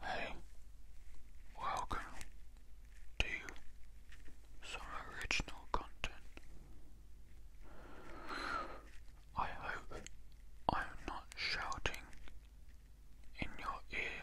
Hey, welcome to some original content. I hope I am not shouting in your ear.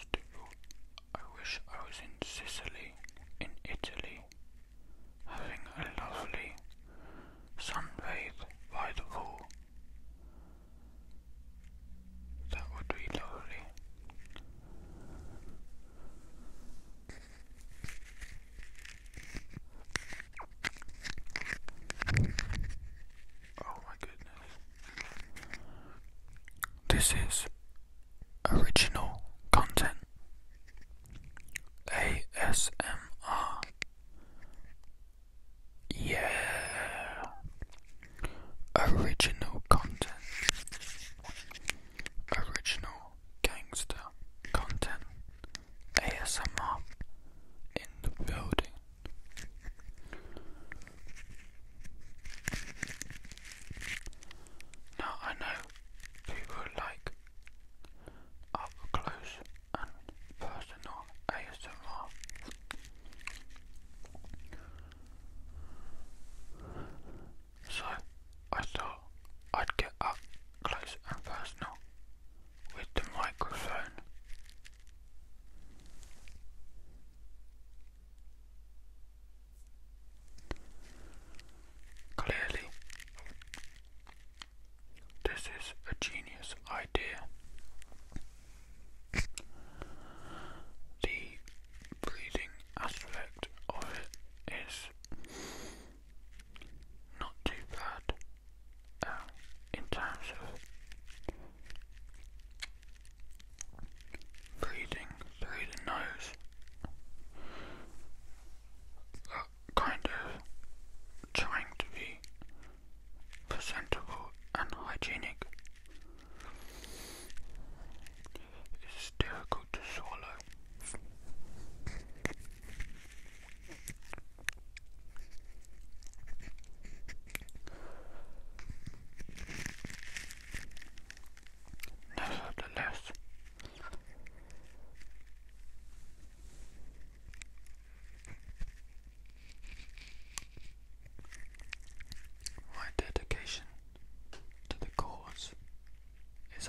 Still, I wish I was in Sicily, in Italy, having a lovely sunbathe by the pool. That would be lovely. Oh my goodness. This is original content. ASMR. Yeah. Original content. Original gangster content. ASMR in the building. Now I know people like up close and personal ASMR. So I thought I'd get up close and personal with the microphone. Clearly, this is a genius idea. The breathing aspect of it is not too bad uh, in terms of breathing through the nose, uh, kind of trying to be presentable and hygienic. It's difficult to swallow. Nevertheless, my dedication to the cause is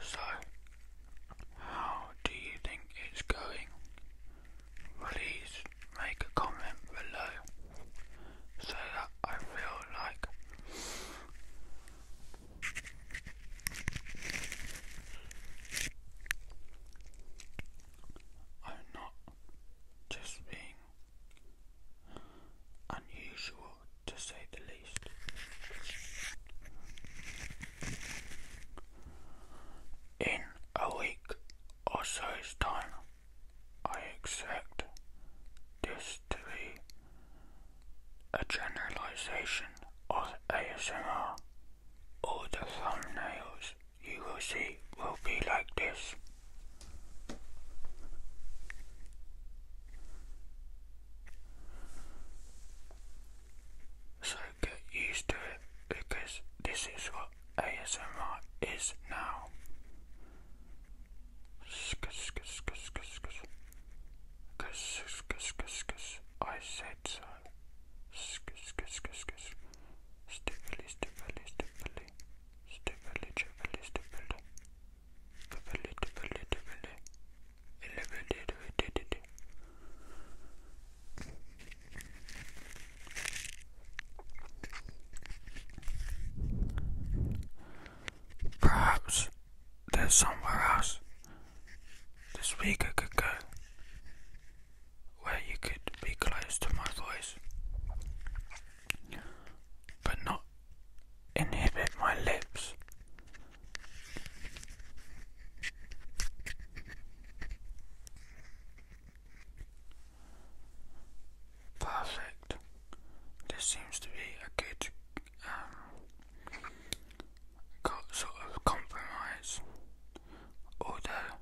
So, how do you think it's going? Please make a comment below so that I feel like I'm not just being unusual to say the least. In a week or so's time, I expect this to be a generalization of ASMR. All the thumbnails you will see will be like this. So get used to it because this is what ASMR is now. I said so. Stippily, stippily, stippily stupidly, stupidly, stupidly, stupidly, stupidly, stupidly, stupidly, Perhaps there's somewhere else this week I could go where you could be close to my voice but not inhibit my lips. Perfect. This seems to be a good um, sort of compromise, although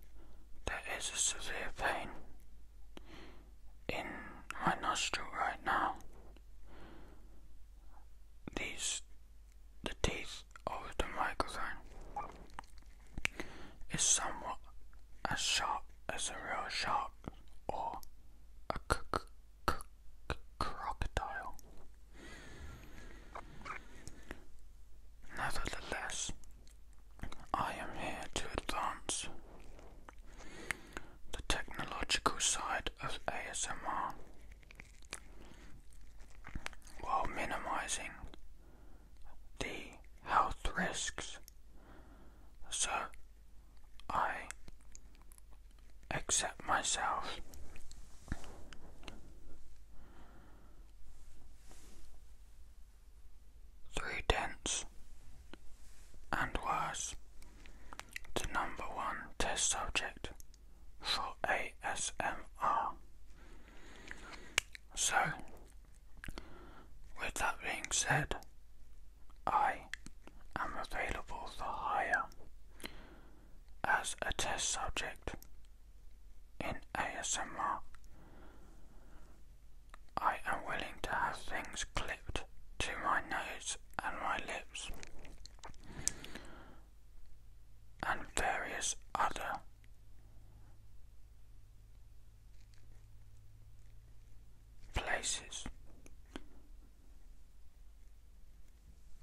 there is a severe pain in my nostril right now. These, the teeth of the microphone, is somewhat as sharp as a real shark or a crocodile. Nevertheless, I am here to advance the technological side of ASMR while minimizing the health risks. So I accept myself three tenths, and worse. the number one test subject for ASMR. So, with that being said, I am available for hire as a test subject in ASMR. I am willing to have things clipped to my nose and my lips and various other places.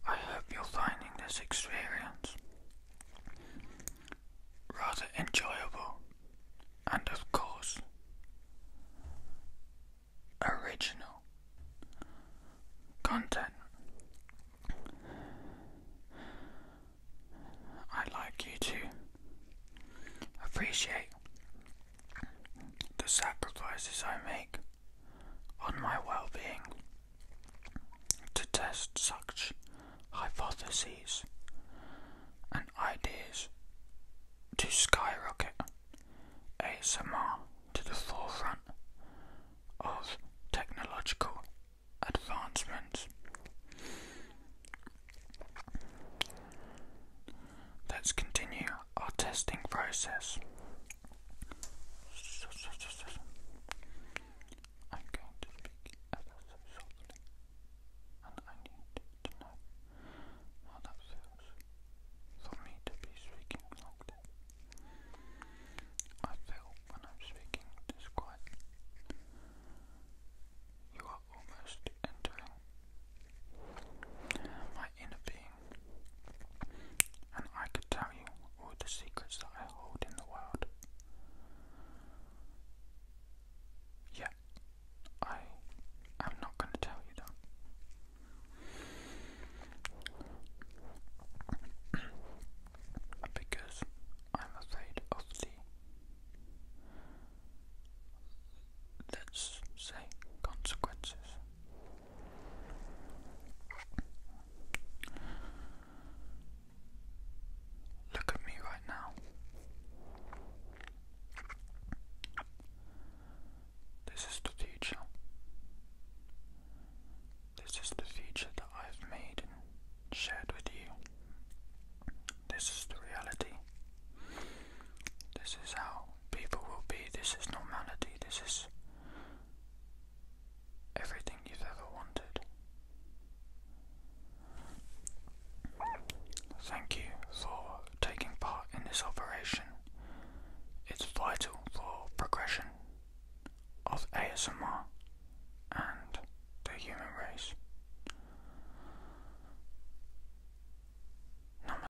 I hope you're finding this experience rather enjoyable, and of course, original content. I'd like you to appreciate the sacrifices I make on my well being to test such hypotheses and ideas to skyrocket ASMR to the forefront of technological advancements. Let's continue our testing process I'm going to speak ever and I need to know how that feels for me to be speaking like this. I feel when I'm speaking this quiet, you are almost entering my inner being and I could tell you all the secrets that I hold in the world. Yet, I am not going to tell you that. because I'm afraid of the, let's say, consequences. Look at me right now. This is the future. This is the future that I've made and shared with you. This is the reality. This is how people will be. This is normality. This is everything you've ever wanted. Thank you for taking part in this operation. It's vital for progression of ASMR and the human race.